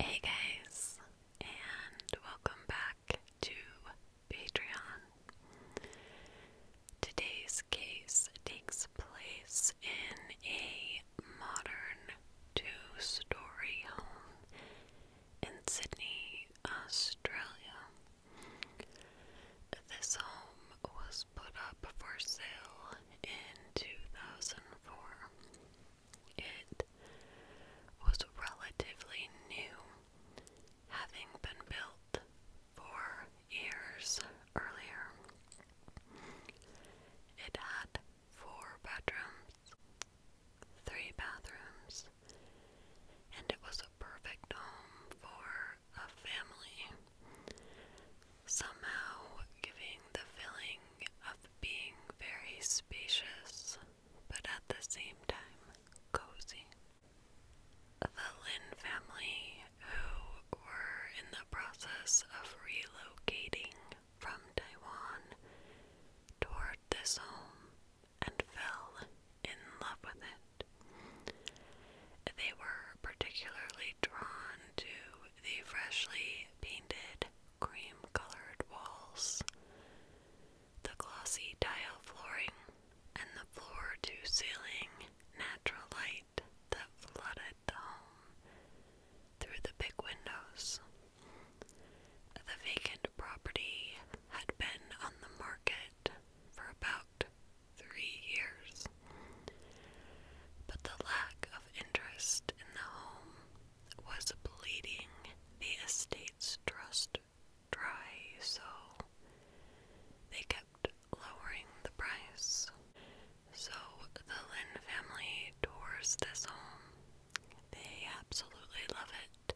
Hey guys, and welcome back to Patreon. Today's case takes place in a modern two story home in Sydney, Australia. This home was put up for sale in 2004. It was relatively new, having been built four years earlier. It had four bedrooms, three bathrooms, and it was a perfect home for a family, somehow giving the feeling of being very spacious, but at the same time cozy. The Lin family, who were in the process of relocating from Taiwan toward this home and fell in love with it. They were particularly drawn to the freshly painted cream colored walls, the glossy tile flooring, and the floor to ceiling natural light that flooded the home through the big windows. The vacant property had been on the market for about three years, but the lack of interest in the home was bleeding the estate's trust dry, so they kept lowering the price. So the Lynn family tours this home. They absolutely love it.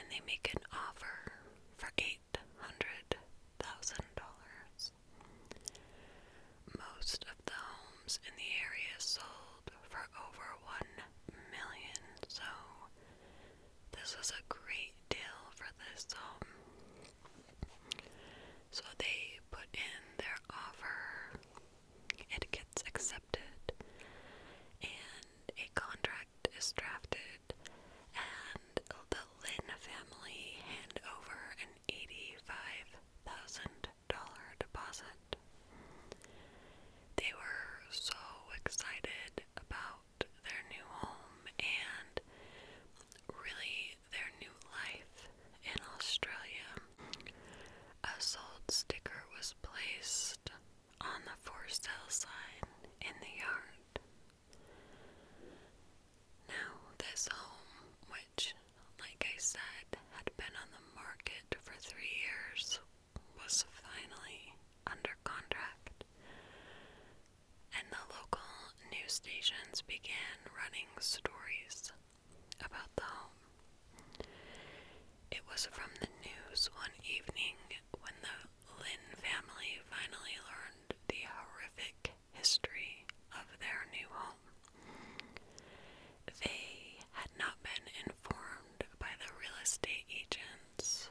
And they make an offer for $800,000. Most of the homes in the area sold for over 1 million, so this was a great deal for this home. Um, so they put in their offer, it gets accepted, and a contract is drafted, and the Lin family hand over an 85000 deposit. They were so excited about their new home and really their new life in Australia. A sold sticker was placed on the for sale sign in the yard. Now, this home, which like I said, had been on the market for three years, was finally under contract. And the local news stations began running stories about the home. It was from the news one evening when the Lynn family finally learned the horrific history of their new home. They had not been informed by the real estate agents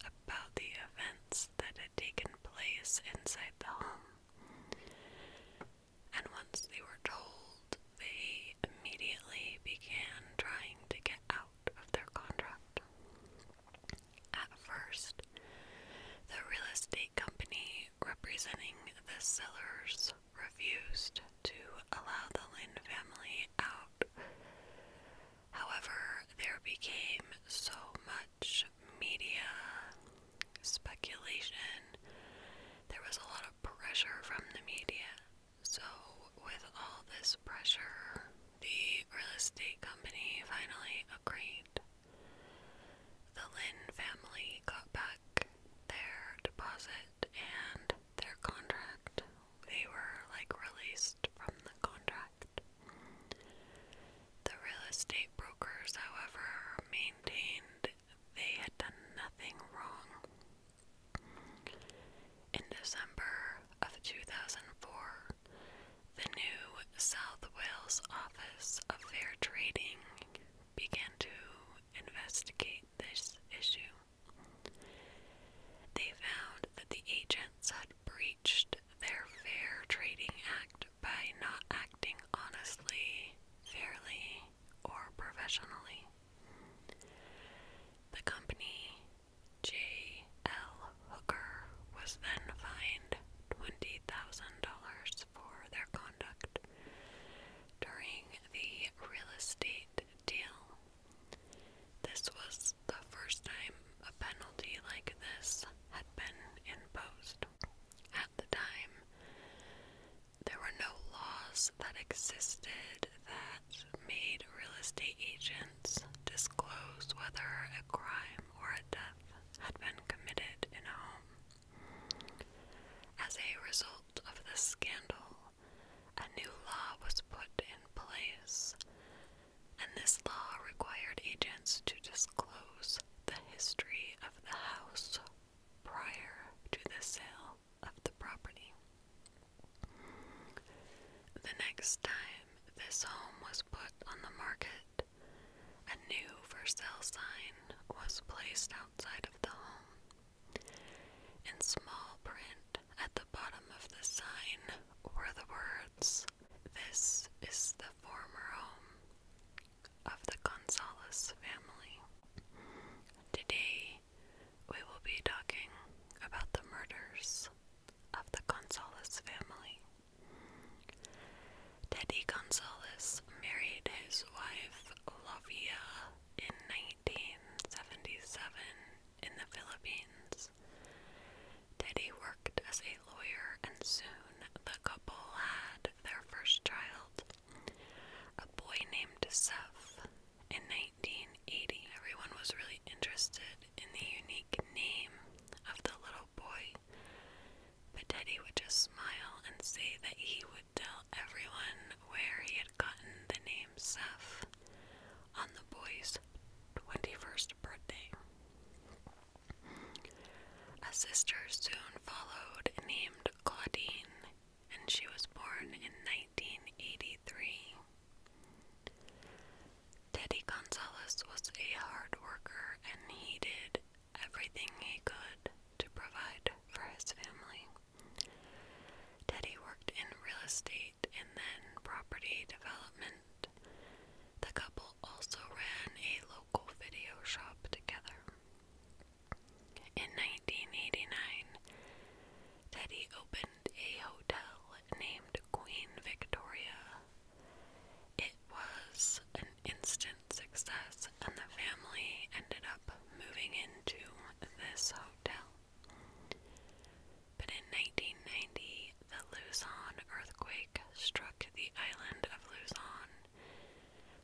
about the events that had taken place inside the home. And once they were told, they immediately began trying to get out of their contract. At first, the real estate company representing the sellers refused to allow the Lin family out. However, there became so much media speculation. There was a lot of pressure from the media. So, with all this pressure, the real estate company finally agreed. The Lynn family got back their deposit and their contract. They were like released from the contract. The real estate brokers, however, maintained they had done nothing wrong. In December of 2004, the new South Wales Office of Fair Trading began to investigate this issue. They found that the agents had breached their Fair Trading Act by not acting honestly, fairly, or professionally. The company, J.L. Hooker, was then fined $20,000 for their conduct. During the real estate deal, this was the first time a penalty like this had been imposed. At the time, there were no laws that existed that made real estate agents disclose whether a crime or a death had been committed in a home. As a result of this scandal, a new law was put in place, and this law required agents to disclose the history of the house prior to the sale of the property. The next time this home was put on the market, a new for sale sign was placed outside of the home. In small print at the bottom of the sign were the words, This is the former home of the Gonzalez family. Today, we will be talking about the murders of the Gonzalez family. Teddy Gonzalez married his wife, Lavia in 1977 in the Philippines. Teddy worked as a lawyer, and soon the couple had their first child, a boy named Seth. In 1980, everyone was really interested in the unique name of the little boy, but Teddy would just smile and say that he would tell everyone where he had gotten the name Seth on the boy's 21st birthday. A sister soon followed named Claudine, and she was born in 1983. Teddy Gonzalez was a hard worker and he did everything he could to provide for his family. Teddy worked in real estate and then property development. The couple also ran a local video shop together. In 1989, Teddy opened a hotel named Queen Victoria. It was an instant success, and the family ended up moving into this hotel. But in 1990, the Luzon earthquake struck the island of Luzon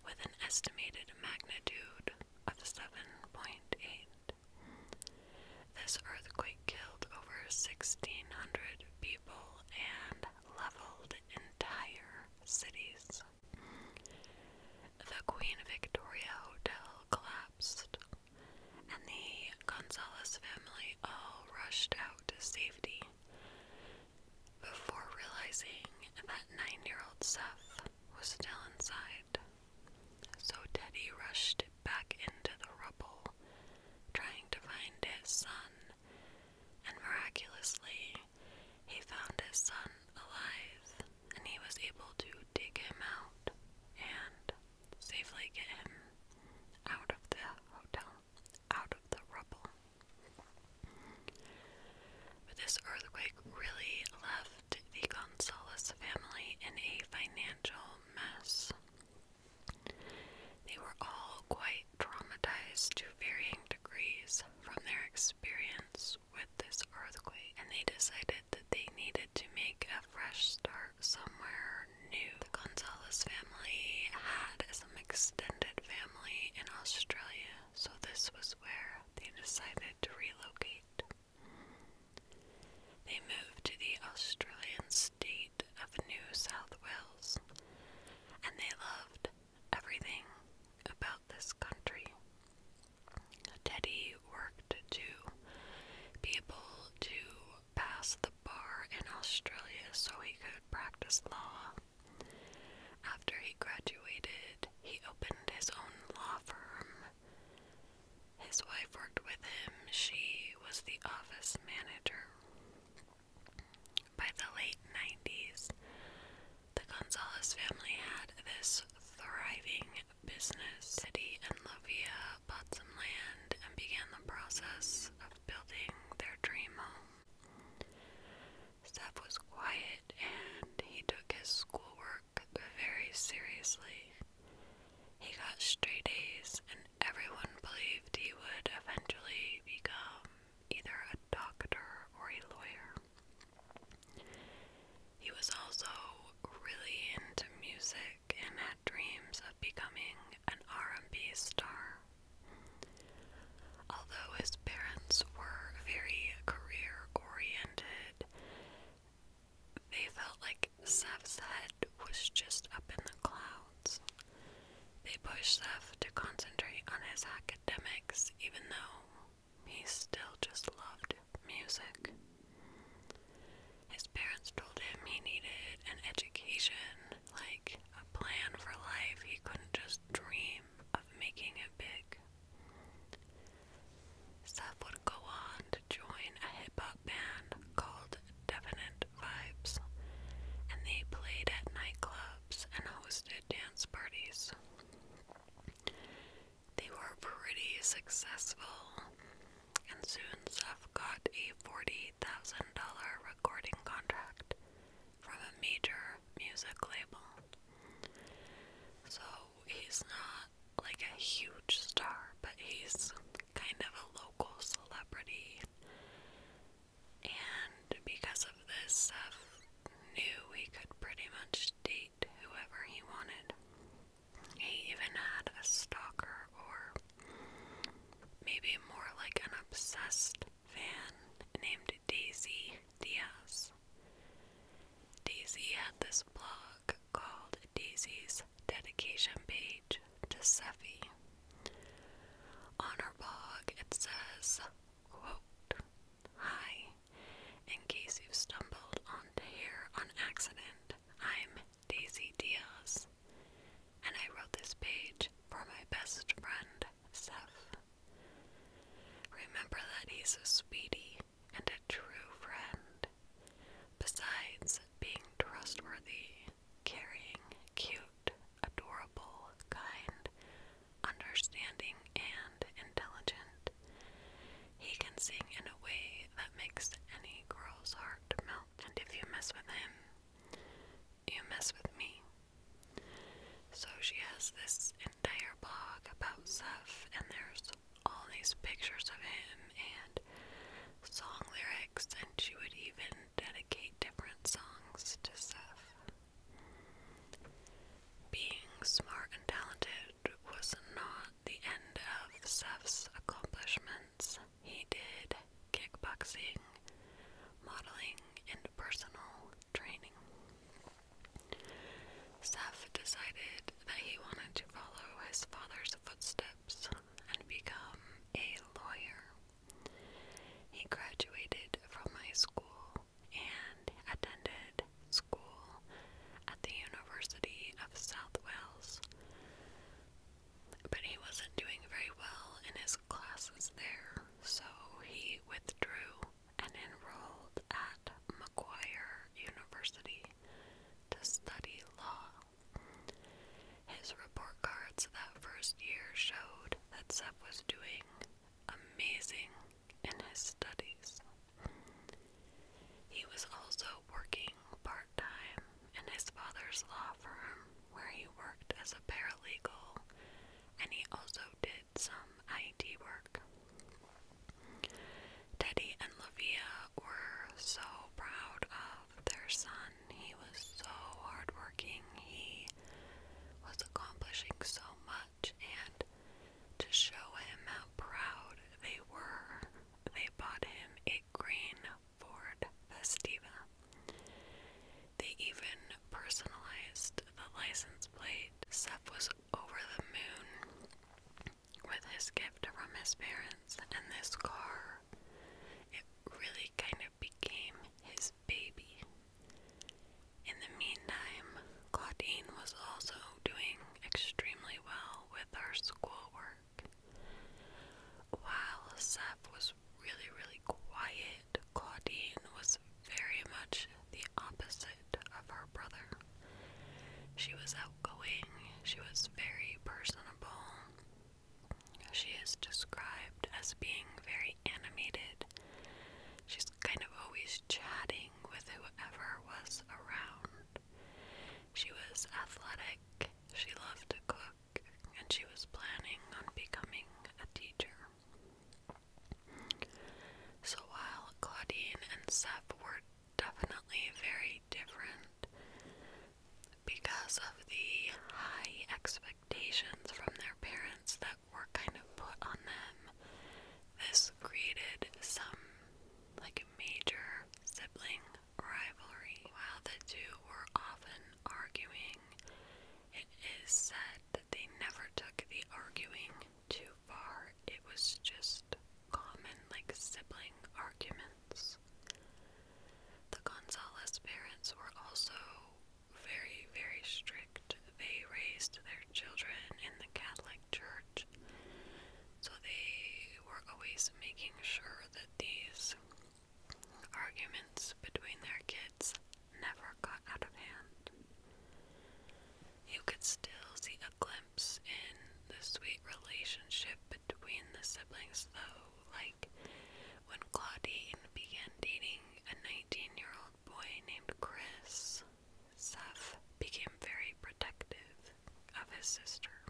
with an estimated magnitude of 7.8. This earthquake killed over 1,600 people and leveled entire cities. The Queen Victoria Hotel collapsed, and the Gonzalez family all rushed out to safety before realizing that nine year old Seth was still inside. So Teddy rushed back into the rubble, trying to find his son, and miraculously, he found his son alive, and he was able to dig him out and safely get him out of the hotel, out of the rubble. But this earthquake really left the Gonzalez family in a financial mess. They were all quite traumatized to varying degrees from their experience with this earthquake, and they decided that they needed to make a fresh start somewhere new. The Gonzalez family had some extended family in Australia, so this was where they decided to relocate. They moved to the Australian state of New South Wales, and they loved everything about this country. Teddy worked to be able to pass the bar in Australia so he could practice law. After he graduated, he opened his own law firm. His wife worked with him, she was the office manager. By the late 90s, the Gonzalez family had this thriving business city and Lovia, bought some land, and began the process of building their dream home. Steph was quiet and he took his schoolwork very seriously. He got straight A's, and everyone believed he would eventually become either a doctor or a lawyer. He was also really into music and had dreams of becoming an R&B star. Although his parents were very career-oriented, they felt like Seth's head was just up in the clouds. They pushed Sev to concentrate on his academics, even though he still just loved music. His parents told him he needed an education, like a plan for life. He couldn't just dream of making it big. Seth would go on to join a hip hop band called Definite Vibes, and they played at nightclubs and hosted dance parties. They were pretty successful, and soon Seth got a $40,000 recording contract from a major music label. So he's not like a huge star, but he's kind of a local celebrity. And because of this, Seth knew he could pretty much date whoever he wanted. He even had a stalker, or maybe more like an obsessed fan named Daisy Diaz. Daisy had this blog called Daisy's Dedication Page to Seffi. On her blog, it says, Hi, in case you've stumbled on here on accident, I'm Daisy Diaz, and I wrote this page for my best friend, Seth. Remember that he's a speedy and a true friend. Besides being trustworthy, caring, cute, adorable, kind, understanding, and intelligent, he can sing in a way that makes any girl's heart melt. And if you mess with him, you mess with me. So she has this entire blog about Seth, and there's all these pictures of him and song lyrics, and she would even dedicate different songs to Seth. Being smart and talented was not the end of Seth's accomplishments. He did kickboxing, modeling, and personal training. Seth decided that he wanted to follow his father's footsteps and become a lawyer. He graduated from high school and attended Trade School at the University of South Wales. But he wasn't doing very well in his classes there, so he withdrew and enrolled at McGuire University to study law. His report cards that first year showed that Seth was doing amazing in his studies. He was also working part time in his father's law firm, where he worked as a paralegal, and he also did some IT work. Teddy and Lavia were so proud of their son. He was so hardworking, he was accomplishing so much, and to show him how proud they were, they bought him a green Ford Festiva. They even personalized the license plate. Seth was over the moon with his gift from his parents, and this car, it really kind of became his baby. In the meantime, Claudine was also doing extremely well with her schoolwork. While Seth was really, really quiet, Claudine was very much the opposite of her brother. She was outgoing, she was very personable. She is described as being very animated. She's kind of always chatting with whoever was around. She was athletic, she loved to cook, and she was planning on becoming a teacher. So while Claudine and Sep were definitely very different because of the high expectations from their parents that were kind of put on them, this created some like a major sibling rivalry. While the two were often arguing, it is said that they never took the arguing too far. It was just common, like sibling arguments. The Gonzalez parents were also very, very strict. They raised their children in the Catholic Church. So they were always making sure that these arguments between their kids never got out of hand. You could still see a glimpse in the sweet relationship between the siblings, though, like when Claudine began dating a 19 year old boy named Chris, Seth became very protective of his sister.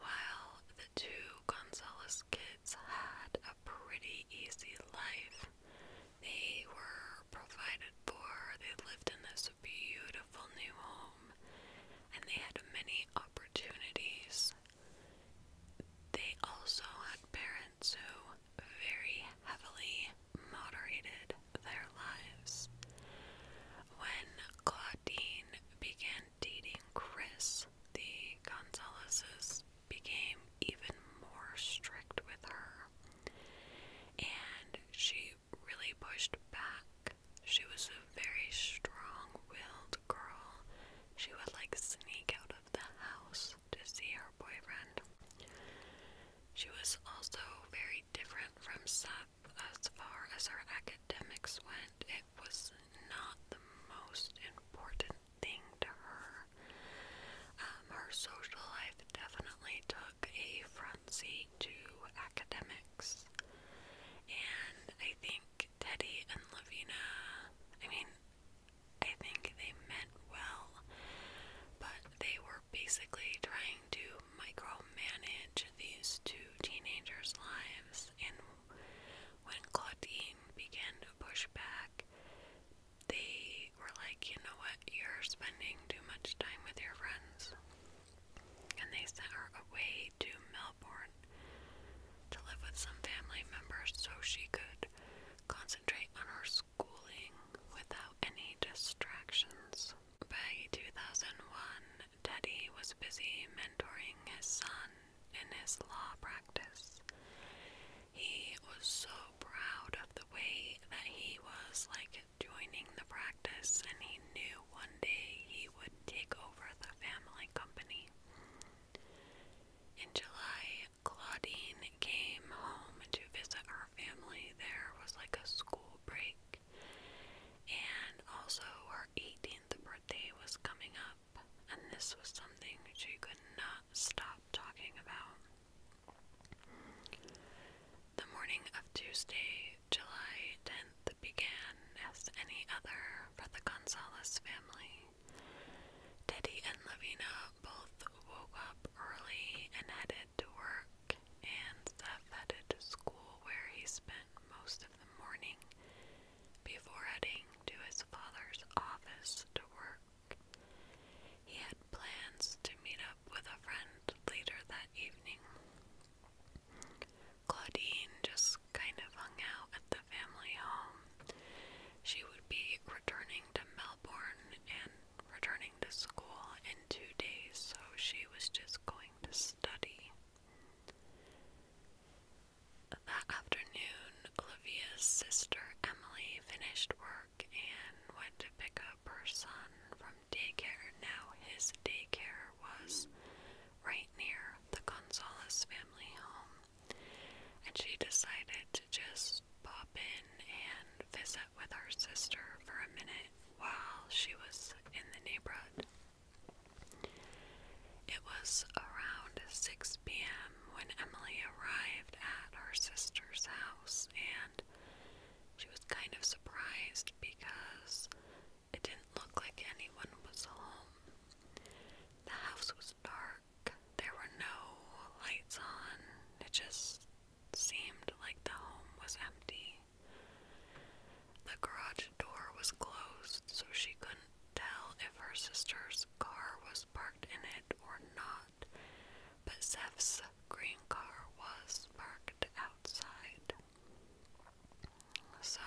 While the two Gonzalez kids had a pretty easy life, they were provided for. They lived in this beautiful new home and they had many opportunities. They also had parents who very heavily moderated their lives. When Claudine began dating Chris, the Gonzaleses became even more strict with her, and she really pushed back. She was a very strong willed girl. She would like sneak out of the house to see her boyfriend. She was also very different from Seth as far as her academics went, it was not the most important thing to her. Um, her social life definitely took a front seat to academics. And I think Teddy and Lavina, I mean, I think they meant well, but they were basically trying to micromanage these two teenagers' lives, and when Claudine began to push back, they were like, you know what, you're spending too much time with your friends. And they sent her away to Melbourne to live with some family members so she could concentrate on her schooling without any distractions. By 2001, Teddy was busy mentoring his son in his law practice. He was so proud of the way that he was like joining the practice, and he knew one day he would take over the family company. In July, Claudine came home to visit her family. There was like a school break, and also, her 18th birthday was coming up, and this was something she could not stop talking about. The morning of Tuesday, July 10th, began as any other for the Gonzalez family. Teddy and Lavina both woke up early and headed to work and the vetted school where he spent most of the morning before heading to his father's office to work. He had plans to meet up with a friend later that evening. Claudine just kind of hung out at the family home. She would be returning to Melbourne and returning to school in two days, so she was just going to study. That afternoon, Olivia's sister Emily finished work and went to pick up her son from daycare. Now, his daycare was right near the Gonzalez family home, and she decided to just pop in and visit with her sister for a minute while she was in the neighborhood. It was around 6 p.m. when Emily arrived at her sister's house, and she was kind of surprised because it didn't look like anyone was home. The house was dark, there were no lights on, it just seemed like the home was empty. The garage door was closed, so she couldn't tell if her sister's car was parked in it or not, but Zeph's green car was parked outside. So,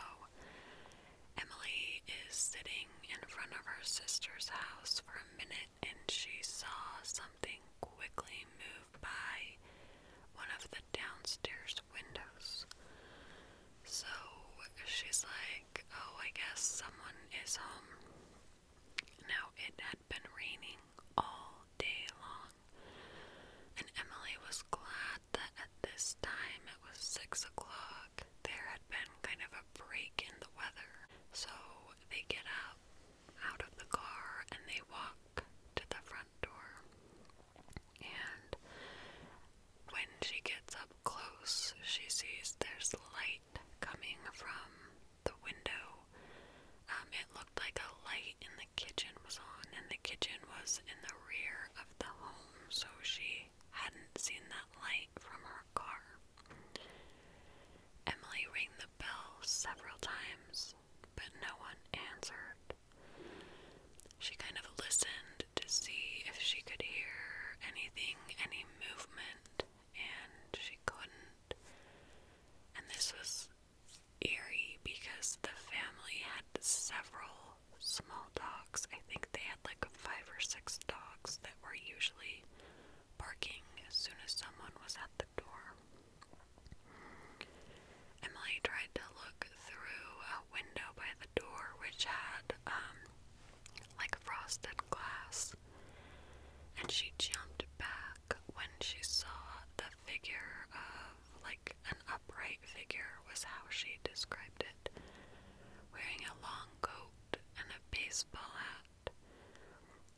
Emily is sitting in front of her sister's house for a minute and she saw something quickly move by one of the downstairs windows. So she's like, Oh, I guess someone is home. Now it had been raining all day long, and Emily was glad that at this time it was six o'clock. There had been kind of a break in the weather. So they get up out of the car and they walk to the front door. And when she gets up close, she sees there's light coming from the window. Um, it looked like a light in the kitchen was on, and the kitchen was in the rear of the home, so she hadn't seen that light from her car. Emily rang the bell several times, but no one answered. She kind of listened to see if she could hear anything, any movement, and she couldn't. And this was eerie because the family had several small dogs. I think they had like five or six dogs that were usually barking as soon as someone was at door. Emily tried to look through a window by the door, which had, um, like frosted glass, and she jumped back when she saw the figure of, like, an upright figure, was how she described it, wearing a long coat and a baseball hat.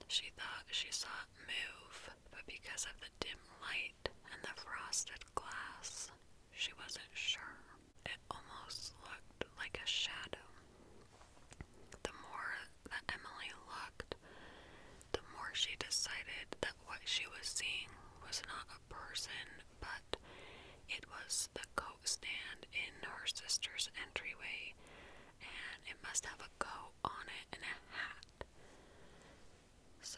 She thought she saw it move, but because of the dim light, and the frosted glass. She wasn't sure. It almost looked like a shadow. The more that Emily looked, the more she decided that what she was seeing was not a person, but it was the coat stand in her sister's entryway, and it must have a coat on it and a hat. So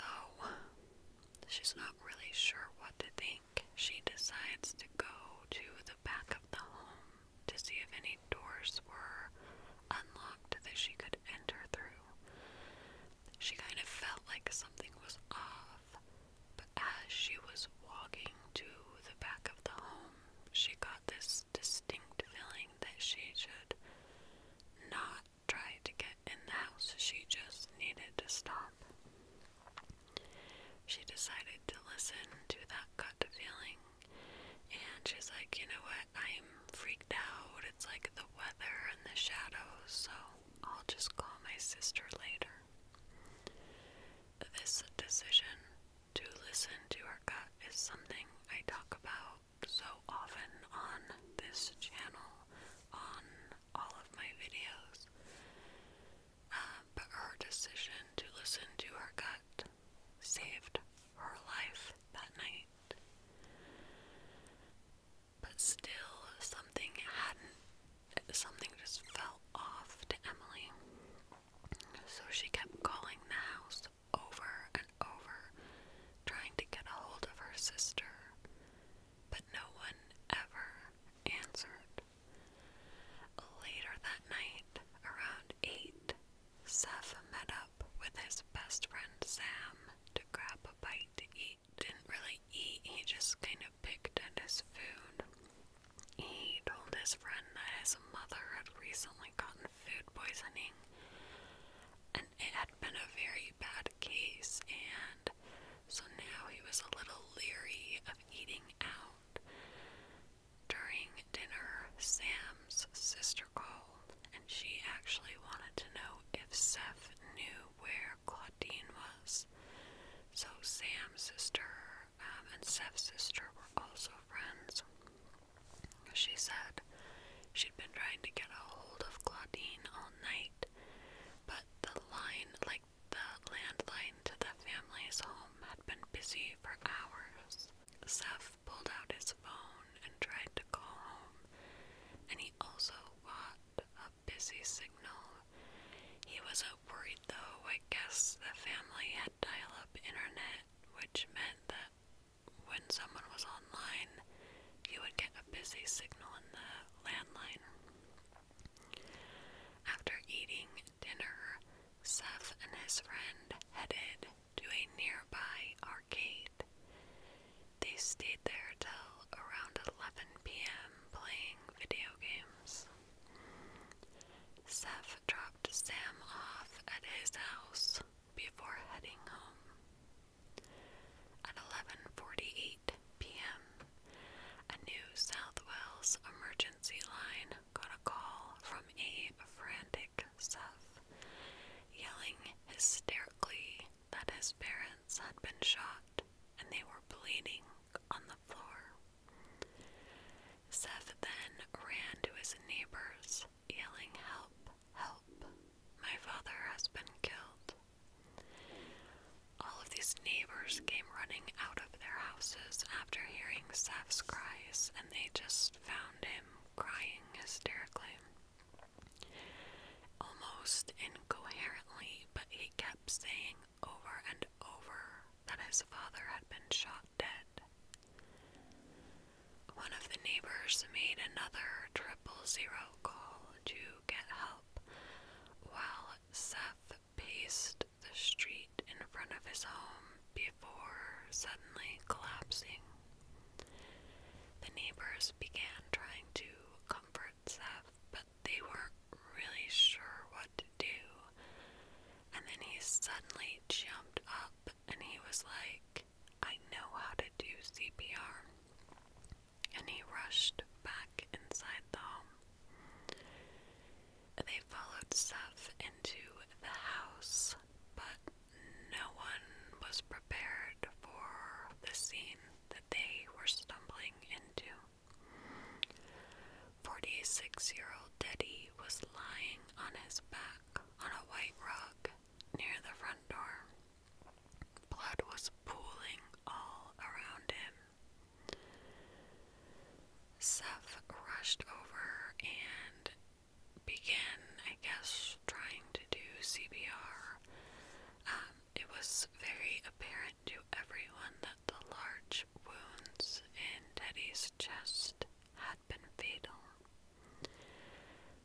she's not really sure what to think. She decides to go to the back of the home to see if any doors were unlocked that she could enter through. She kind of felt like something was off, but as she was walking to the back of the home, she got this distinct feeling that she should not try to get in the house, she just needed to stop. She decided to listen to that gut feeling, and she's like, you know what, I'm freaked out. It's like the weather and the shadows, so I'll just call my sister later. This decision to listen to our gut is something I talk about so often on this channel, on all of my videos. Uh, but her decision to listen to her gut saved her life that night. But still, something hadn't, something just fell off to Emily. So she kept calling the house over and over, trying to get a hold of her sister, but no one ever answered. Later that night, around 8, Seth met up with his best friend Sam to grab a bite to eat. Didn't really eat, he just kind of picked at his food. He told his friend that his mother had recently gotten food poisoning and it had been a very bad case, and so now he was a little leery of eating out. During dinner, Sam's sister called, and she actually wanted to know if Seth knew where Claudine was. So Sam's sister um, and Seth's sister were also friends. She said She'd been trying to get a hold of Claudine all night, but the line, like the landline to the family's home, had been busy for hours. Seth pulled out his phone and tried to call home, and he also got a busy signal. He wasn't worried though, I guess the family had dial up internet, which meant that when someone was online, you would get a busy signal on the landline. After eating dinner, Seth and his friend headed to a nearby arcade. They stayed there till around 11 p.m. playing video games. Seth dropped Sam off at his house before heading home. At 11:48 p.m., a New South Wales emergency line got a call from a frantic Seth, yelling hysterically that his parents had been shot and they were bleeding on the floor. Seth then ran to his neighbors, yelling, Help, help, my father has been killed. All of these neighbors came running out of their houses after hearing Seth's cries, and they just found him crying hysterically. Almost incoherently, but he kept saying over and over that his father had been shot dead. One of the neighbors made another triple zero call to get help, while Seth paced the street in front of his home before suddenly collapsing. The neighbors began trying to comfort Seth, but they weren't really sure what to do. And then he suddenly jumped up and he was like, I know how to do CPR and he rushed back inside the home. They followed Seth into the house, but no one was prepared for the scene that they were stumbling into. 46 year old Teddy was lying on his back on a white rug near the front door. Blood was pooling all around him. Seth rushed over and began, I guess, trying to do CBR. Um, it was very apparent to everyone that the large wounds in Teddy's chest had been fatal.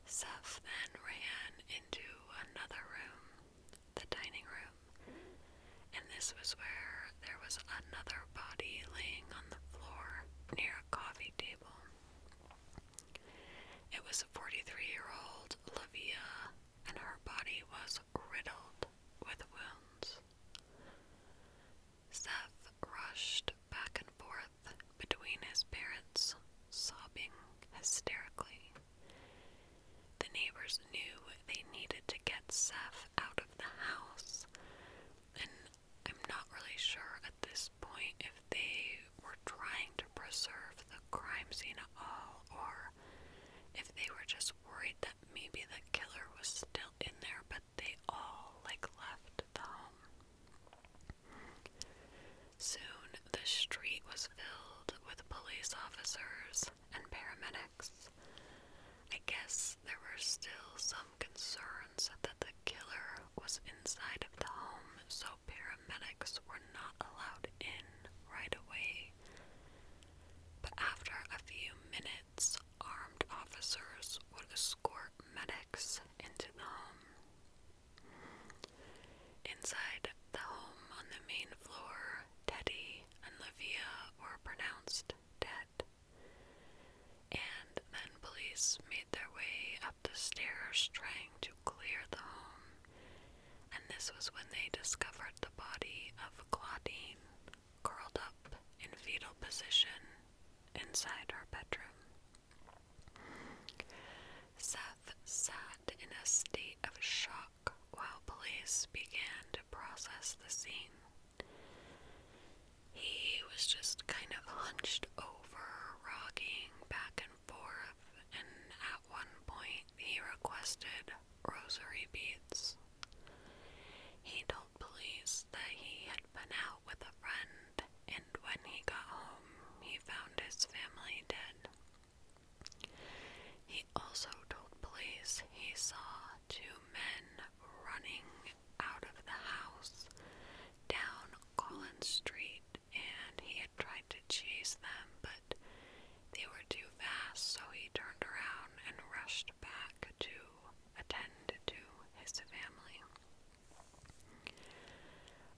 Seth then ran into another room the dining room, and this was where there was another body laying on the floor near a coffee table. It was a 43 year old Lavia, and her body was riddled with wounds. Seth rushed back and forth between his parents, sobbing hysterically. The neighbors knew they needed to get Seth out of the house, and I'm not really sure at this point if they were trying to preserve the crime scene at all or if they were just worried that maybe the killer was still in there but they all like left the home. Soon, the street was filled with police officers and paramedics. I guess there were still some concerns that the killer was inside of the home, so paramedics were not allowed in right away. But after a few minutes, armed officers would escort medics into the home. Inside the home on the main floor, Teddy and Livia were pronounced dead. And then police made their way up the stairs trying to clear the home. And this was when they discovered the body of Claudine curled up in fetal position inside her bedroom. Sad sat in a state of shock while police began to process the scene. He was just kind of hunched over, rocking back and forth, and at one point he requested rosary beads. He told police that he had been out with a friend, and when he got home, he found his family dead. He also told police he saw two men running out of the house down Collins Street and he had tried to chase them, but they were too fast, so he turned around and rushed back to attend to his family.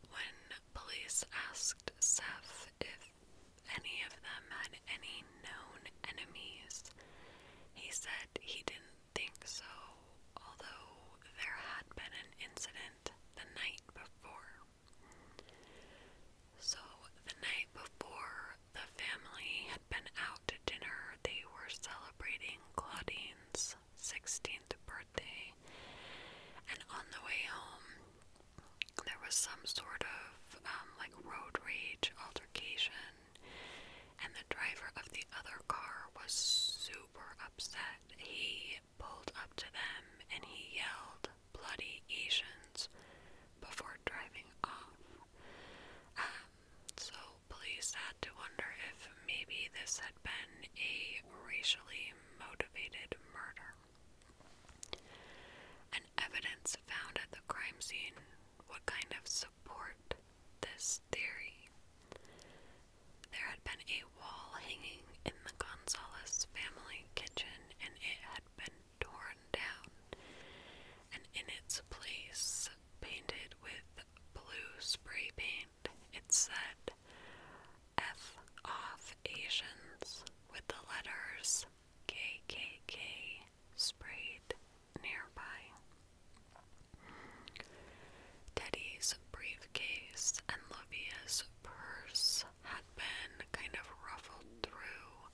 When police asked Seth if any of them had any known enemies. He said he didn't think so, although there had been an incident the night before. So, the night before, the family had been out to dinner. They were celebrating Claudine's 16th birthday, and on the way home, there was some sort of um, like road rage altercation, and the driver of the other car was super upset. He pulled up to them and he yelled, Bloody Asians, before driving off. Um, so, police had to wonder if maybe this had been a racially motivated murder. And evidence found at the crime scene would kind of support this theory. There had been a wall hanging in the Gonzalez family kitchen, and it had been torn down, and in its place, painted with blue spray paint, it said, F off Asians with the letters K K K sprayed nearby. Teddy's briefcase and Lovia's purse had been kind of ruffled through,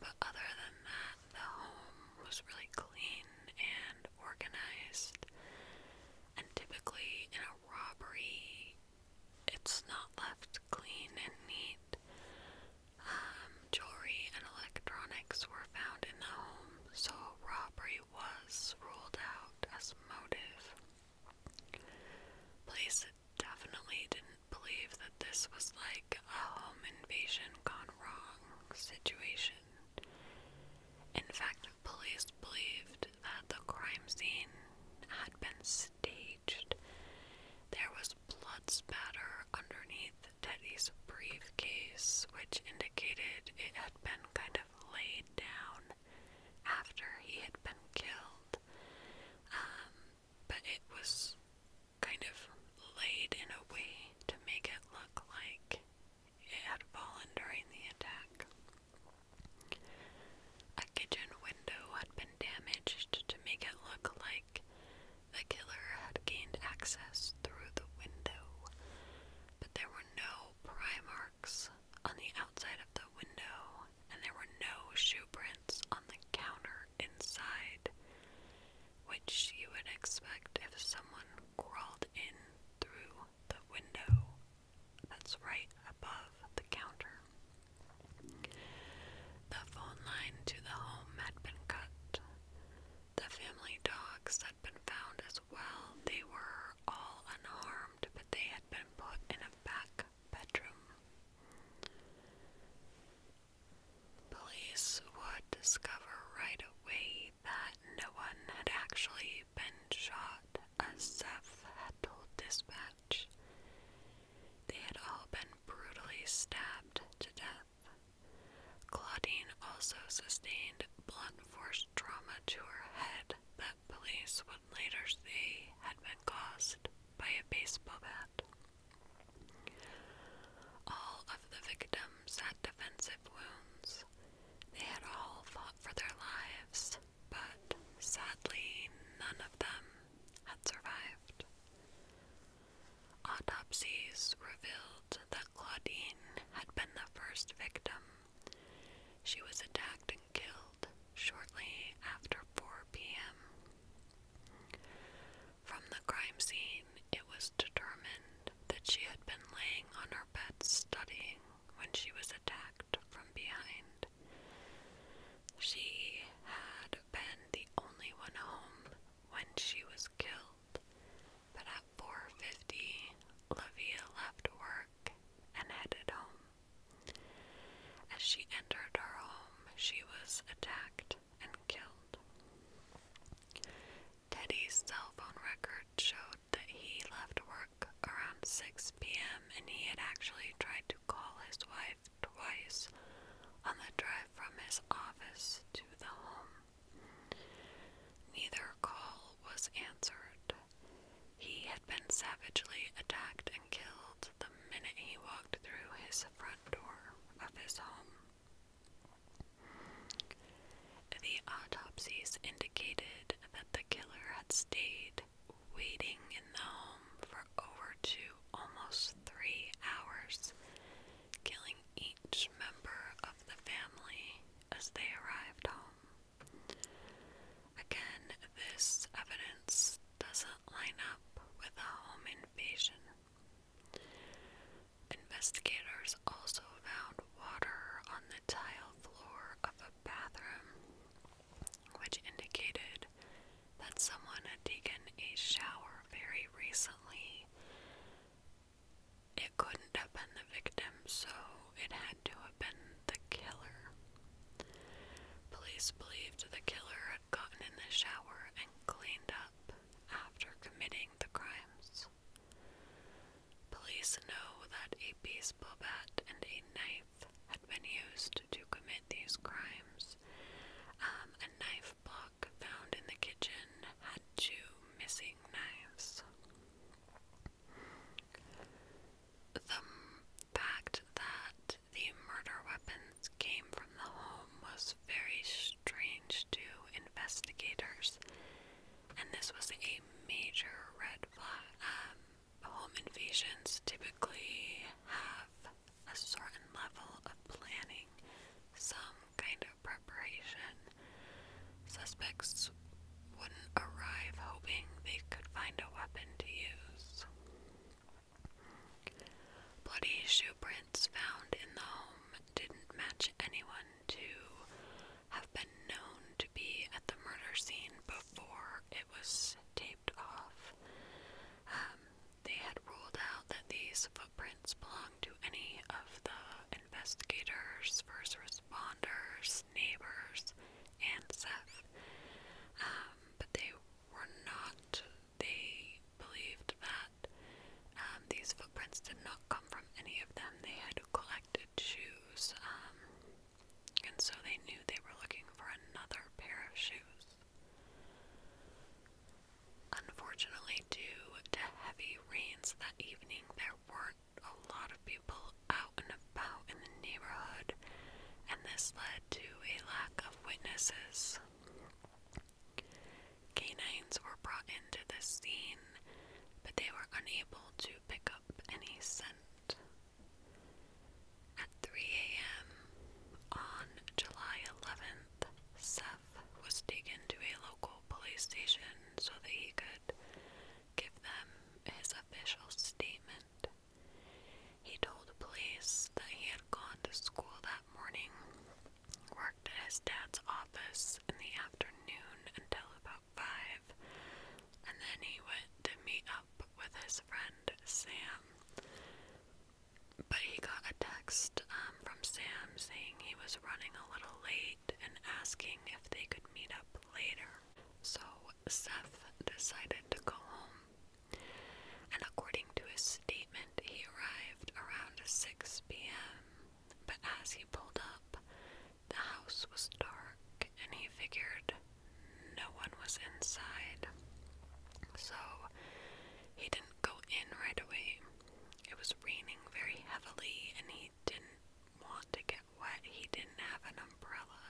but other than that, the home was really clean and organized. And typically in a robbery, it's not left clean and neat. Um, jewelry and electronics were found in the home, so robbery was ruled out as motive. Police definitely didn't believe that this was like a home invasion gone wrong situation. In fact, police believed that the crime scene had been staged. There was blood spatter underneath Teddy's briefcase, which indicated it had been kind of laid down after he had been killed. Um, but it was kind of laid in a way to make it look like it had fallen during the attack. A kitchen window had been damaged to make it look like the killer had gained access through the window, but there were no pry marks on the outside of the window, and there were no shoe prints on the counter inside, which you would expect if someone crawled in through the window that's right above the counter. The phone line to the home had been cut. The family dogs had been found as well. They were all unharmed, but they had been put in a back bedroom. Police would discover right away that no one had actually been shot, as Seth had told dispatch. They had all been brutally stabbed to death. Claudine also sustained blunt force trauma to her head that police would later say had been caused by a baseball bat. All of the victims had defensive wounds. They had all fought for their lives but sadly, none of them had survived. Autopsies revealed that Claudine had been the first victim. She was attacked and killed shortly after 4 p.m. From the crime scene, it was determined that she had been laying on her bed studying when she was attacked from behind. She had been the only one home when she was killed, but at 4:50, Lavia left work and headed home. As she entered her home, she was attacked and killed. Teddy's cell phone record showed that he left work around 6 p.m. and he had actually tried to call his wife twice on the drive from his office to the home. Neither call was answered. He had been savagely attacked and killed the minute he walked through his front door of his home. The autopsies indicated that the killer had stayed night, waiting in the home for over two, almost three hours, killing each member of the family as they arrived home. Again, this evidence doesn't line up with a home invasion. Investigators also found water on the tile floor of a bathroom which indicated that someone had taken a shower very recently. It couldn't have been the victim, so it had to have been the killer. Police believed the killer had gotten in the shower and cleaned up after committing the crimes. Police know that a baseball bat and a knife had been used to commit these crimes. Um, a knife block found in the kitchen had two missing knives. The fact that the murder weapons came from the home was very strange to investigators, and this was a major red flag. Um, Home invasions typically have a certain level of planning, some kind of preparation. Suspects wouldn't arrive hoping they could find a weapon to use. Bloody shoe prints found in the home didn't match anyone to have been known to be at the murder scene before it was taped off. Um, they had ruled out that these footprints belonged to any of the investigators, first responders, neighbors, and Seth. Um, but they were not, they believed that um, these footprints did not come from any of them. They had collected shoes, um, and so they knew they were looking for another pair of shoes. Unfortunately, due to heavy rains that evening, there weren't a lot of people out and about in the neighborhood, and this led to a lack of witnesses. Canines were brought into the scene, but they were unable to pick up any scent. At 3 a.m. on July 11th, Seth was taken to a local police station so that he could give them his official statement. He told police that he had gone to school that morning, worked at his dad's office in the afternoon until about 5, and then he went to meet up with his friend Sam but he got a text um, from Sam saying he was running a little late and asking if they could meet up later. So Seth decided to go home, and according to his statement, he arrived around 6 p.m. But as he pulled up, the house was dark, and he figured no one was inside. So he didn't go in right away. It was raining very heavily and he didn't want to get wet. He didn't have an umbrella.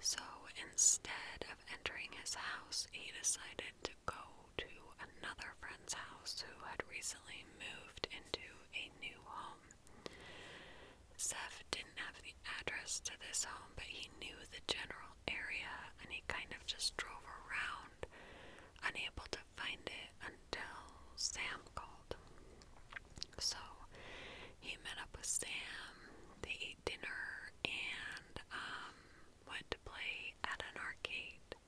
So instead of entering his house, he decided to go to another friend's house who had recently moved into a new home. Seth didn't have address to this home, but he knew the general area and he kind of just drove around, unable to find it until Sam called. So he met up with Sam, they ate dinner, and um, went to play at an arcade.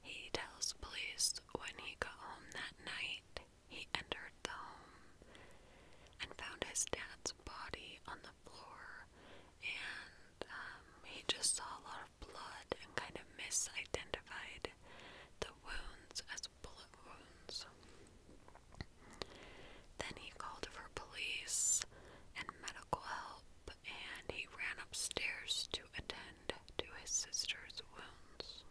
He tells police when he got home that night, he entered the home and found his dad's body on the floor and um, he just saw a lot of blood and kind of misidentified the wounds as bullet wounds. Then he called for police and medical help and he ran upstairs to attend to his sister's wounds.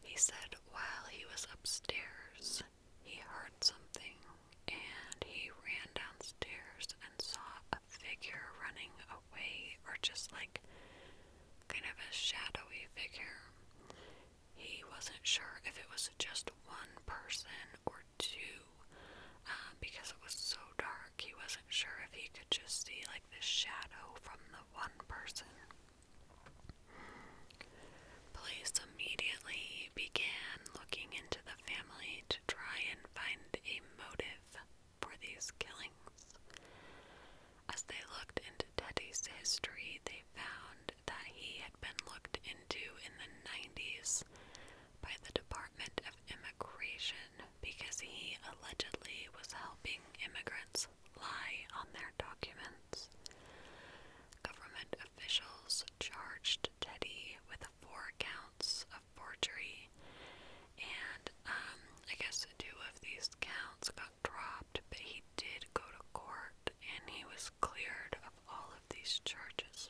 He said while he was upstairs, he heard something and he ran downstairs and saw a figure running away, or just like kind of a shadowy figure. He wasn't sure if it was just one person or two uh, because it was so dark. He wasn't sure if he could just see like the shadow from the one person. Police immediately began looking into the family to try and find a motive for these killings. As they looked into Teddy's history, they found that he had been looked into in the 90s by the Department of Immigration because he allegedly was helping immigrants lie on their documents. Government officials charged Teddy with four counts of forgery, and um, I guess two of these counts got dropped, but he did go to court and he was cleared of all of these charges.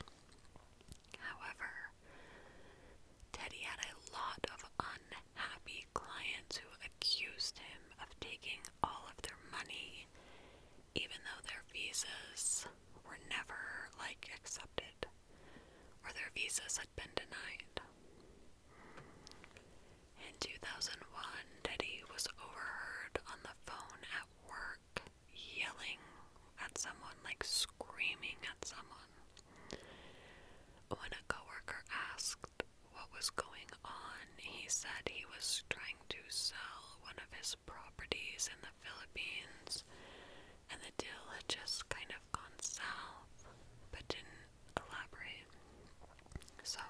However, Teddy had a lot of unhappy clients who accused him of taking all of their money even though their visas were never like accepted or their visas had been denied. In 2001, Teddy was overheard on the phone at work yelling at someone, like screaming at someone. When a coworker asked what was going on, he said he was trying to sell one of his properties in the Philippines, and the deal had just kind of gone south, but didn't elaborate. So,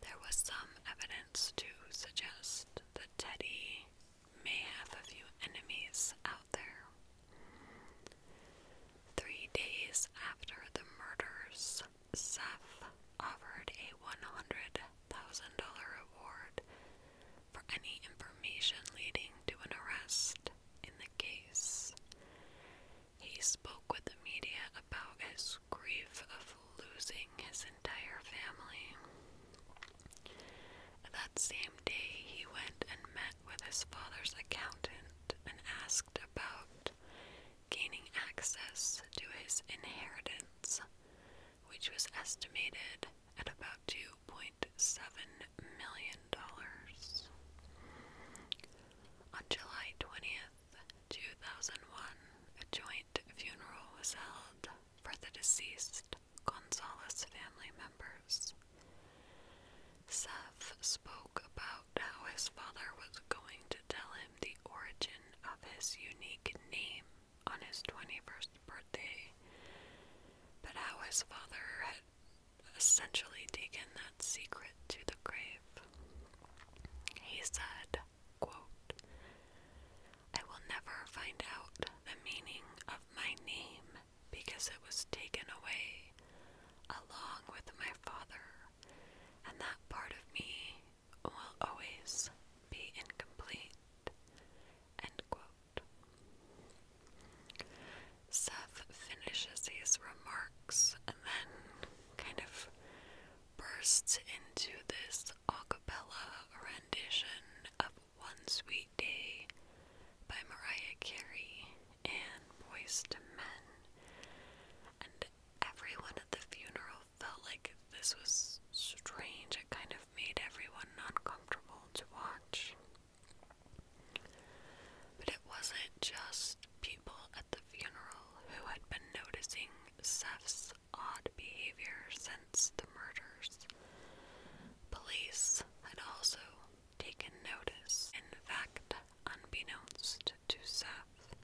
there was some evidence to suggest that Teddy may have a few enemies out there. Three days after the murders, Seth offered a $100,000 reward for any information leading to an arrest in the case. He spoke with the media about his grief of losing his entire family. That same day, he went and met with his father's accountant and asked about gaining access to his inheritance which was estimated at about $2.7 million. On July 20th, 2001, a joint funeral was held for the deceased Gonzalez family members. Seth spoke about how his father was going to tell him the origin of his unique name on his 21st birthday, but how his father had essentially taken that secret to the grave. He said, quote, I will never find out the meaning of my name because it was taken away along with my father, and that part of me will always be incomplete. End quote. Seth finishes these remarks and then kind of bursts into this a cappella rendition of One Sweet Day by Mariah Carey and Boys to Men. And everyone at the funeral felt like this was strange. It kind of made everyone uncomfortable to watch. But it wasn't just people at the funeral who had been noticing Seth's odd behavior since the murders. Police had also taken notice. In fact, unbeknownst to Seth,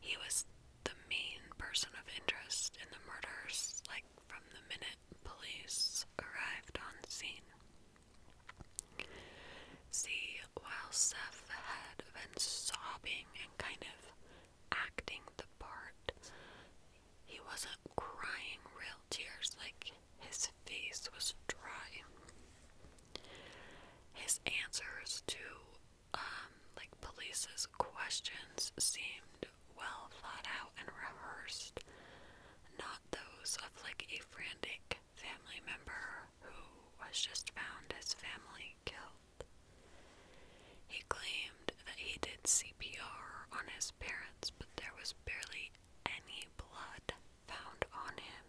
he was the main person of interest in the murders, like from the minute police arrived on scene. See, while Seth had been sobbing and kind of acting the part, he wasn't crying real tears, like his face was dry. His answers to um, like police's questions seemed well thought out and rehearsed, not those of like a frantic family member who was just found his family killed. He claimed that he did CPR on his parents, but there was barely any blood found on him.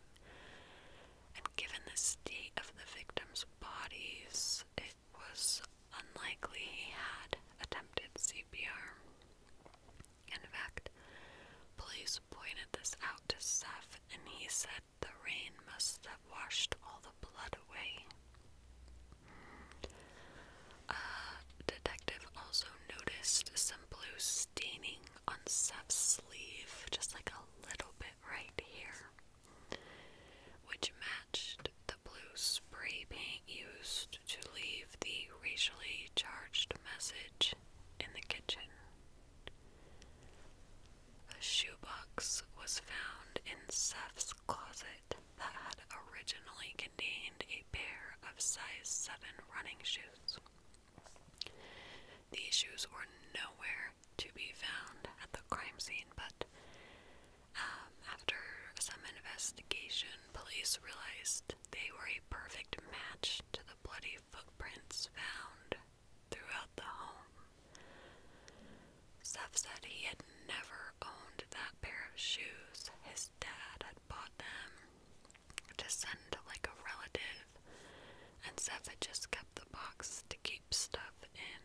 And given the state of the victims' bodies, it was Unlikely he had attempted CPR. In fact, police pointed this out to Seth and he said the rain must have washed all the blood away. A detective also noticed some blue staining on Seth's sleeve, just like a little bit right here which matched the blue spray paint used to leave the racially charged message in the kitchen. A shoebox was found in Seth's closet that had originally contained a pair of size 7 running shoes. These shoes were nowhere to be found at the crime scene, but um, after some investigation, police realized they were a perfect match to the bloody footprints found throughout the home. Seth said he had never owned that pair of shoes. His dad had bought them to send to like a relative, and Seth had just kept the box to keep stuff in.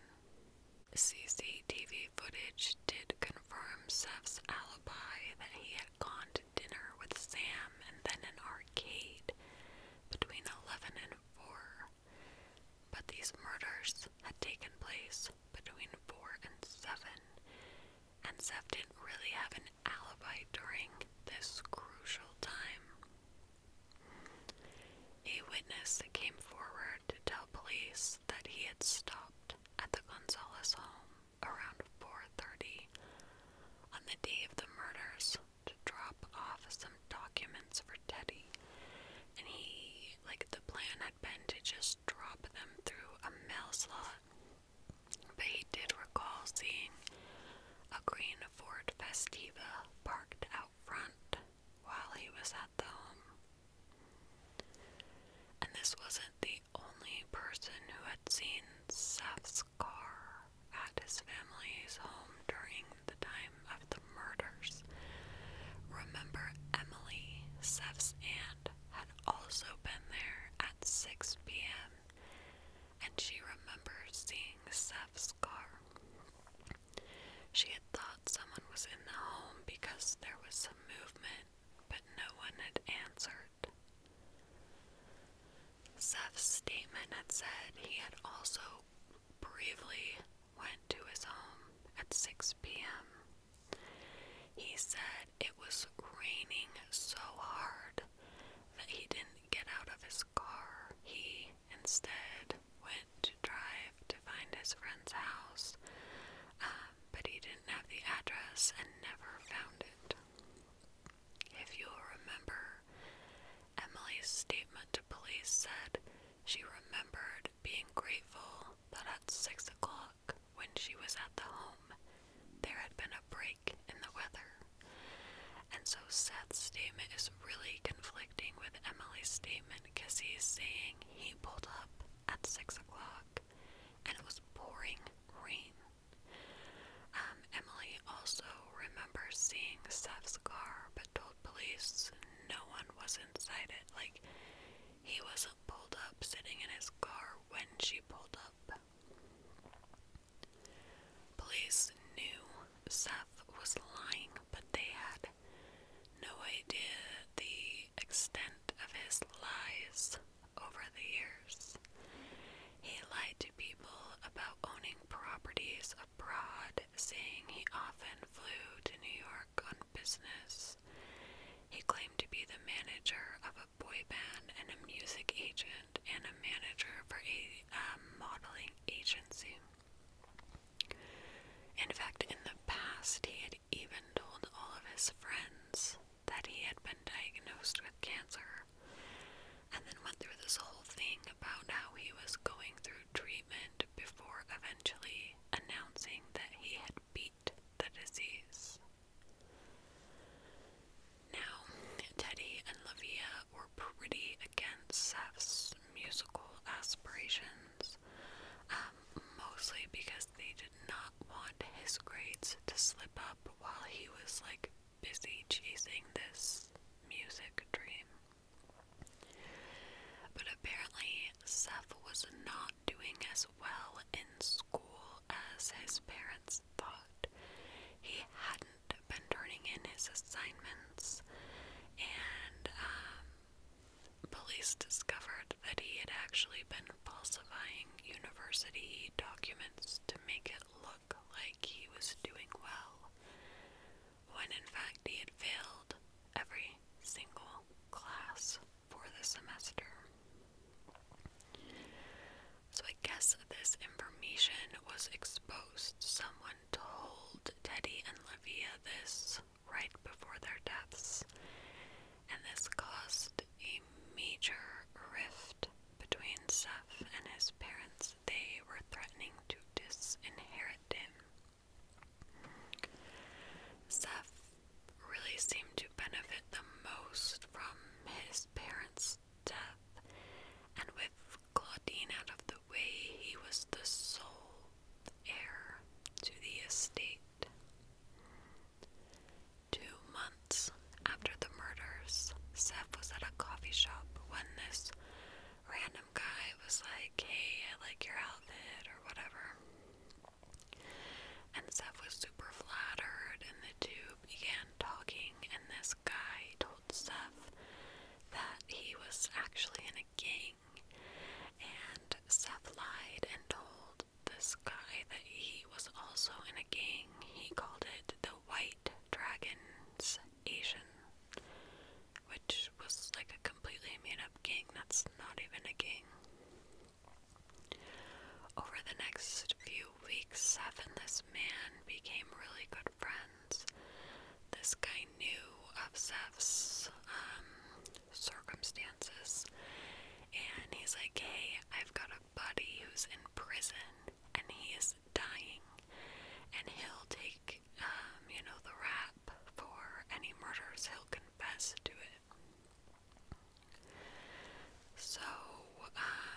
CCTV footage did confirm Seth's alibi that he had gone to dinner with Sam and then an arcade between 11 and 4, but these murders had taken place between 4 and 7, and Seth didn't really have an alibi during this crucial time. A witness came forward to tell police that he had stopped at the Gonzalez home around 4:30 on the day of the murders to drop off some documents for Teddy. And he like the plan had been to just drop them through a mail slot. But he did recall seeing a green Ford Festiva parked out front while he was at the home. And this wasn't the only person who had seen Seth's car at his family's home during the time of the murders. Remember, Emily, Seth's aunt, had also been there at 6 p.m., and she remembers seeing Seth's car. She had thought someone was in the home because there was some movement, but no one had answered. Seth's statement had said he had also briefly went to his home at 6 p.m. He said it was raining so hard that he didn't get out of his car. He instead went to drive to find his friend's house, um, but he didn't have the address and never found it. If you'll remember, Emily's statement to police said she remembered being grateful that at six o'clock, when she was at the home, there had been a break in the weather. And so Seth's statement is really conflicting with Emily's statement because he's saying he pulled up at six o'clock and it was pouring rain. Um, Emily also remembers seeing Seth's car but told police no one was inside it. Like, he wasn't pulled up sitting in his car when she pulled up. Police knew Seth was lying, but they had no idea the extent of his lies over the years. He lied to people about owning properties abroad, saying he often flew to New York on business. He claimed to be the manager of a boy band and a music agent and a manager for a um, modeling agency. In fact, in the past, he had even told all of his friends that he had been diagnosed with cancer, and then went through this whole thing about how he was going through treatment before eventually announcing that he had beat the disease. Now, Teddy and Lavia were pretty against Seth's musical aspirations. Um, mostly because they did not want his grades to slip up while he was like busy chasing this music dream. But apparently, Seth was not doing as well in school as his parents thought. He hadn't been turning in his assignments, and um, Police discovered that he had actually been falsifying university documents to make it look like he was doing well, when in fact he had failed every single class for the semester. So I guess this information was exposed. Someone told Teddy and Livia this right before their deaths, and this caused a major rift between Seth and his parents. They were threatening to disinherit him. Seth really seemed to benefit the most from his parents' death, and with Claudine out of the way, he was the sole heir to the estate. Two months after the murders, Seth was at a coffee shop when this random guy was like, Hey, I like your outfit, or whatever. And Seth was super flattered, and the two began talking. And this guy told Seth that he was actually in a gang and Seth lied and told this guy that he was also in a gang. He called it the White Dragons Asian, which was like a completely made up gang that's not even a gang. Over the next few weeks, Seth and this man became really good friends. This guy knew of Seth's um, circumstances. And he's like, Hey, I've got a buddy who's in prison and he is dying, and he'll take, um, you know, the rap for any murders, he'll confess to it. So, um,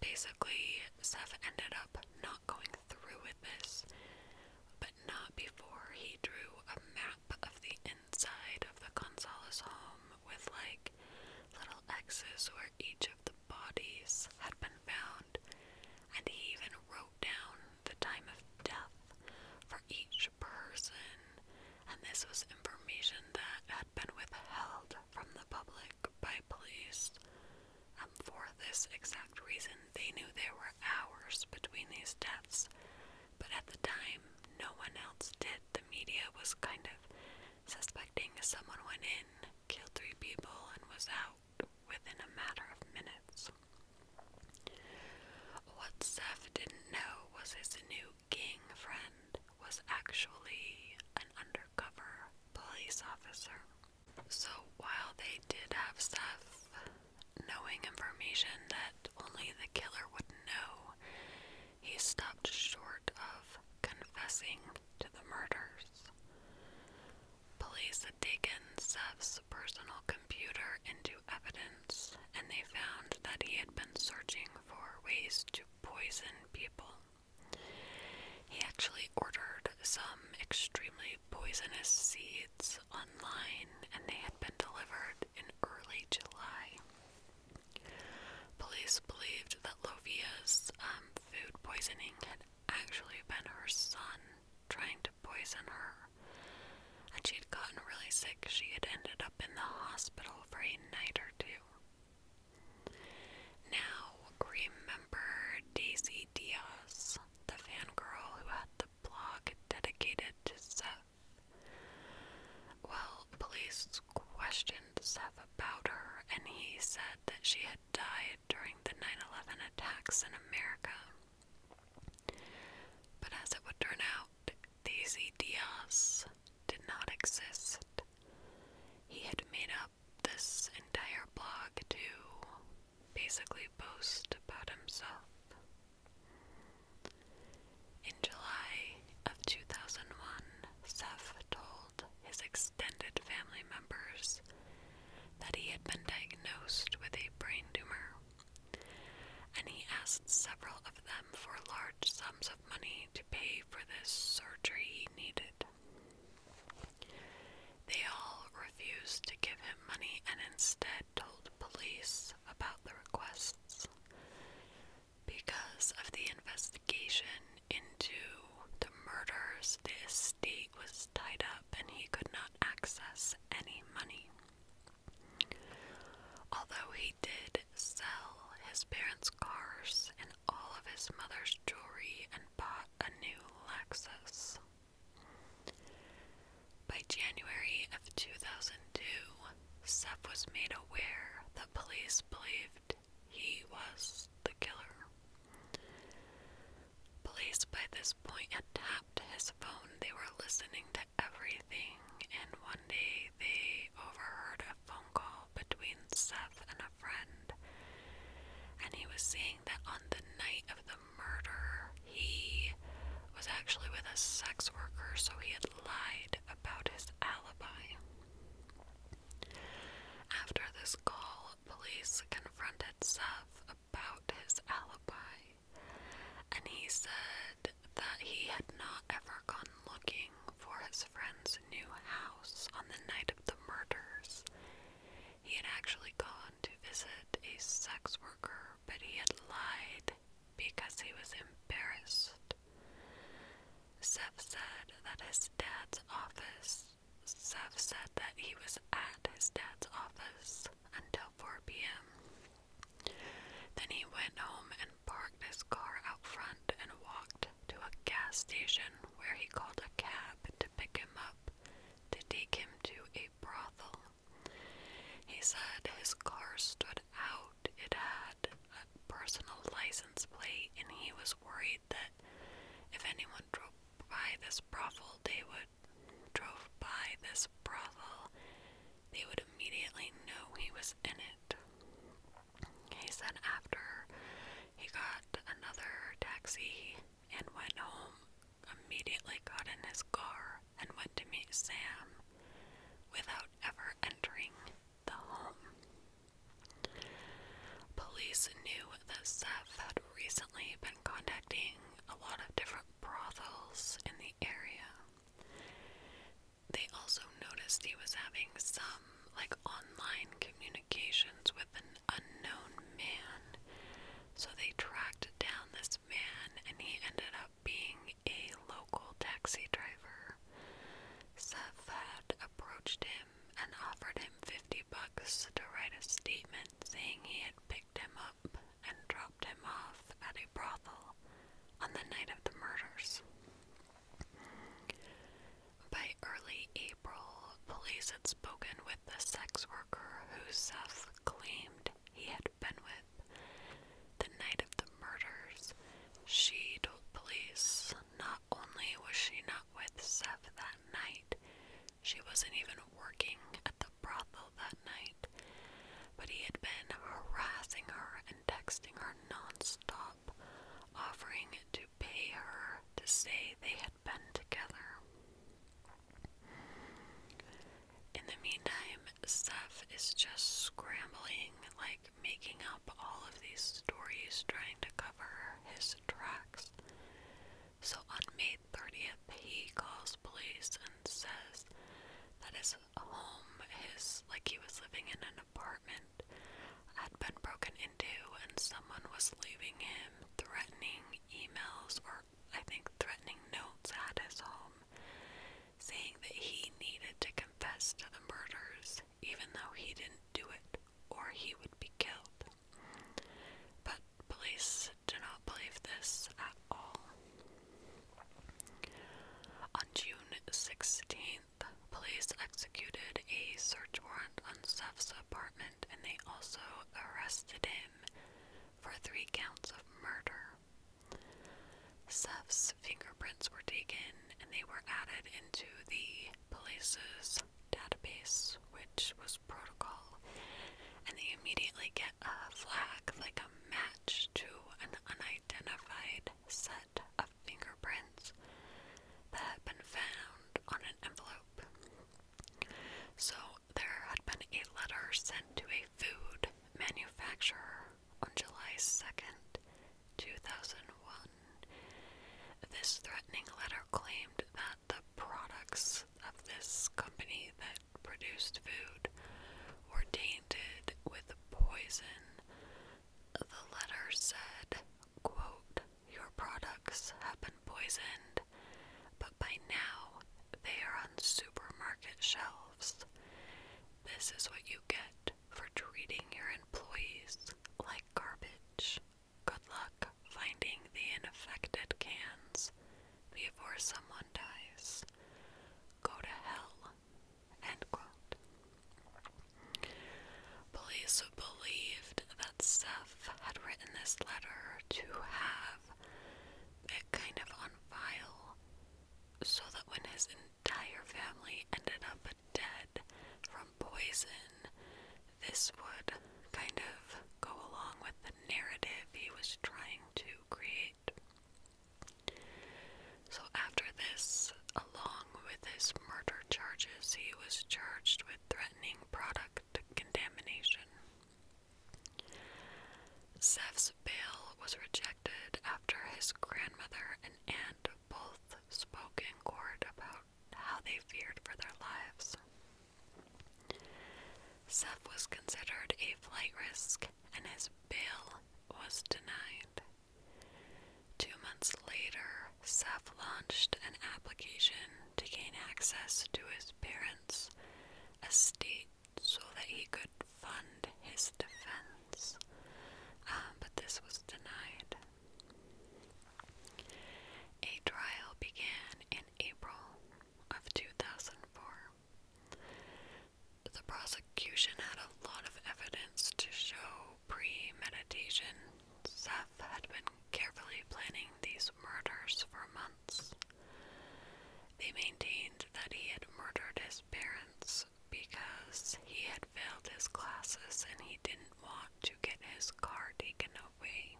basically, Seth ended up not going through with this, but not before he drew a map map of the inside of the Gonzalez home with like little X's where each of the bodies had been found, and he even wrote down the time of death for each person, and this was information that had been withheld from the public by police. Um, for this exact reason, they knew there were hours between these deaths, but at the time, no one else did. The media was kind of suspecting someone went in, killed three people, and was out within a matter of minutes. What Seth didn't know was his new gang friend was actually an undercover police officer. So while they did have Seth knowing information that only the killer would know, he stopped short of confessing to the murders. Police had taken Sev's personal computer into evidence, and they found that he had been searching for ways to poison people. He actually ordered some extremely poisonous seeds online and they had been delivered in early July. Police believed that Lovia's um, food poisoning had actually been her son trying to poison her. And she had gotten really sick. She had ended up in the hospital for a night or two. Now, remember Daisy Diaz, the fangirl who had the blog dedicated to Seth? Well, police questioned Seth about her, and he said that she had died during the 9 11 attacks in America. But as it would turn out, these ideas did not exist. He had made up this entire blog to basically boast about himself. In July of 2001, Seth told his extended family members that he had been diagnosed with a brain tumor, and he asked several of them for large sums of money to pay for this surgery he needed. They all refused to give him money and instead told police about the requests. Because of the investigation into the murders, the estate was tied up and he could not access any money. Although he did sell his parents' cars and all of his mother's jewelry and bought a new Lexus. By January of 2002, Seth was made aware that police believed he was the killer. Police by this point had tapped his phone. They were listening to everything, and one day they overheard a phone call between Seth and a friend. And he was saying that on the night of the murder, he was actually with a sex worker, so he had lied about his alibi. After this call, police confronted Seth about his alibi, and he said that he had not ever gone looking for his friend's new house on the night of the murders. He had actually gone to visit a sex worker, but he had lied because he was embarrassed. Seth said that his dad's office, Seth said that he was at his dad's office until 4 p.m. Then he went home and parked his car out front and walked to a gas station where he called a cab to pick him up to take him to a brothel he said his car stood out, it had a personal license plate, and he was worried that if anyone drove by this brothel, they would drove by this brothel, they would immediately know he was in it. He said after he got another taxi and went home, immediately got in his car and went to meet Sam without ever entering the home. Police knew that Seth had recently been contacting a lot of different brothels in the area. They also noticed he was having some like online communications with an unknown man. So they tracked down this this man, and he ended up being a local taxi driver. Seth had approached him and offered him 50 bucks to write a statement saying he had picked him up and dropped him off at a brothel on the night of the murders. By early April, police had spoken with the sex worker who Seth claimed he had been with. The night of the murders, she told police not only was she not with Seth that night, she wasn't even working at the brothel that night, but he had been harassing her and texting her nonstop, offering to pay her to say they had been together. In the meantime, Seth is just scrambling, like making up all of these stories, trying to cover his tracks. So on May 30th, he calls police and says that his home, his like he was living in an apartment, had been broken into, and someone was leaving him threatening emails or I think threatening notes at his home saying that he needed to confess to the murders, even though he didn't do it or he would be killed. But police do not believe this at all. On June 16th, police executed a search warrant on Seth's apartment and they also arrested him for three counts of murder. Seth's fingerprints were taken and they were added into the police's database, which was protocol, and they immediately get a flag like a match to an unidentified set of fingerprints that had been found on an envelope. So there had been a letter sent to a food manufacturer on July 2nd, 2001. This threatening letter claimed that the products of this company that produced food were tainted with poison. The letter said, quote, Your products have been poisoned, but by now they are on supermarket shelves. This is what you get for treating your employees like garbage. Good luck finding the infected cans before someone dies. Go to hell. Police believed that Seth had written this letter to have it kind of on file so that when his entire family ended up dead from poison, this would kind of go along with the narrative he was trying to create. So, after this, along with his murder charges, he was charged with threatening product contamination. Seth's bail was rejected after his grandmother and aunt both spoke in court about how they feared for their lives. Seth was considered a flight risk and his bail was denied. Two months later, Seth launched an application to gain access to his parents' estate so that he could fund his defense, um, but this was denied. A trial began in April of 2004. The prosecution had a lot of evidence to show premeditation. Seth had been carefully planning these murders for months. They maintained that he had murdered his parents house because he had failed his classes and he didn't want to get his car taken away.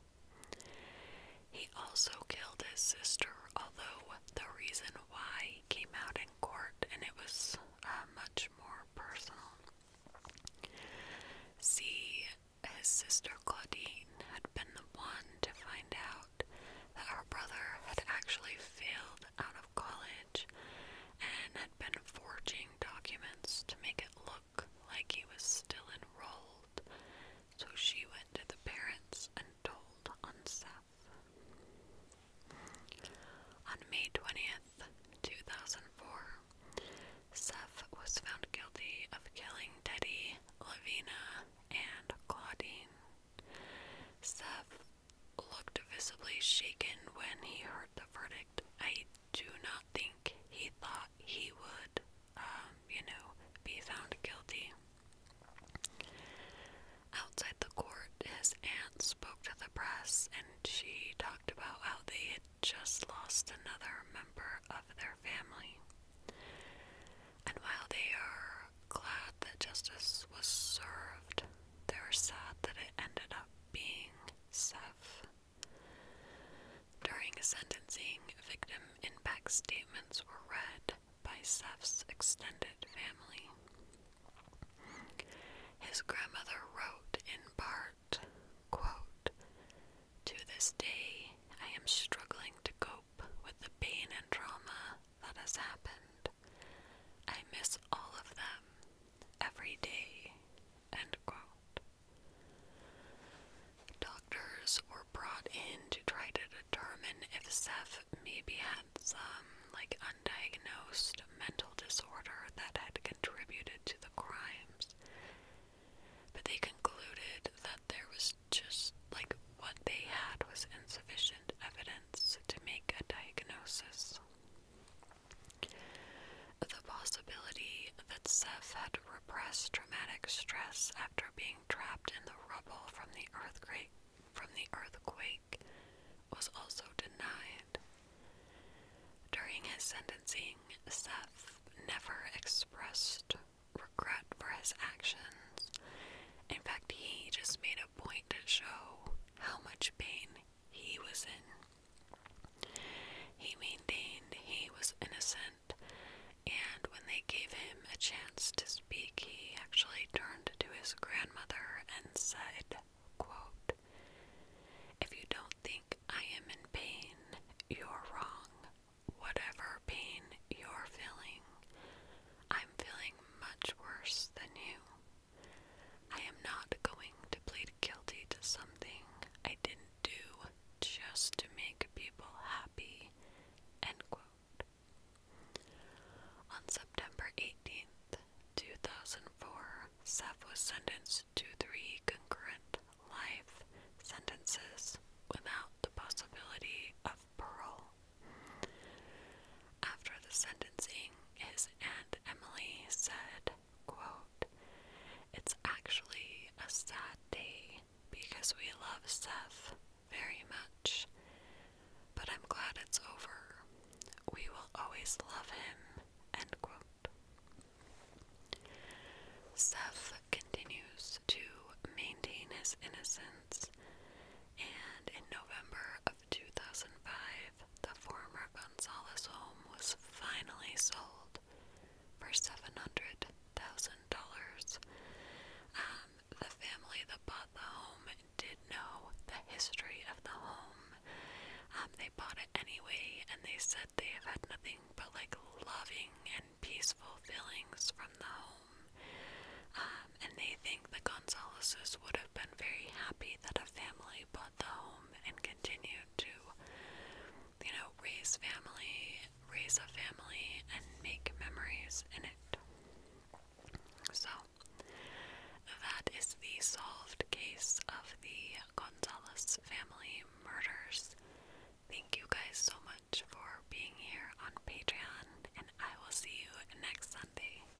He also killed his sister, although the reason why he came out in court and it was uh, much more personal. See, his sister Claudine had been the one to find out that her brother had actually failed out of college and had been forging documents to make it look like he was still enrolled, so she went to the parents and told on Seth. On May 20th, 2004, Seth was found guilty of killing Teddy, Lavina, and Claudine. Seth looked visibly shaken when he heard the verdict. I do not think he thought he would, um, you know, be found guilty. Outside the court, his aunt spoke to the press and she talked about how they had just lost another member of their family. And while they are glad that justice was served. They were sad that it ended up being Seth. During sentencing, victim impact statements were read by Seth's extended family. His grandmother wrote in part, To this day, I am struggling to cope with the pain and trauma that has happened. I miss all of them every day. End quote. Doctors were brought in to try to determine if Seth maybe had some like undiagnosed mental disorder that had contributed to the crimes. But they concluded that there was just like what they had was insufficient evidence to make a diagnosis. The possibility that Seth had repressed traumatic stress after being trapped in the rubble from the earthquake from the earthquake was also denied. During his sentencing, Seth never expressed regret for his actions. In fact, he just made a point to show how much pain he was in. He maintained he was innocent, and when they gave him a chance to speak, he actually turned to his grandmother and said, quote, If you don't think I am in pain, you're wrong. Whatever pain you're feeling, I'm feeling much worse than you. I am not going to plead guilty to something I didn't do just to make people happy. On September 18th, 2004, Seth was sentenced to three concurrent life sentences without the possibility of parole. After the sentencing, his aunt Emily said, quote, It's actually a sad day because we love Seth very much, but I'm glad it's over. We will always love him, end quote. Seth continues to maintain his innocence, and in November of 2005, the former Gonzalez home was finally sold for $700,000. Um, the family that bought the home did know the history of the home. Um, they bought it anyway, and they said they have had nothing but like loving and peaceful feelings from the home. Um, and they think the Gonzaleses would have been very happy that a family bought the home and continued to, you know, raise family, raise a family, and make memories in it. So, that is the solved case of the Gonzalez family murders. Thank you guys so much for being here on Patreon, and I will see you next Sunday.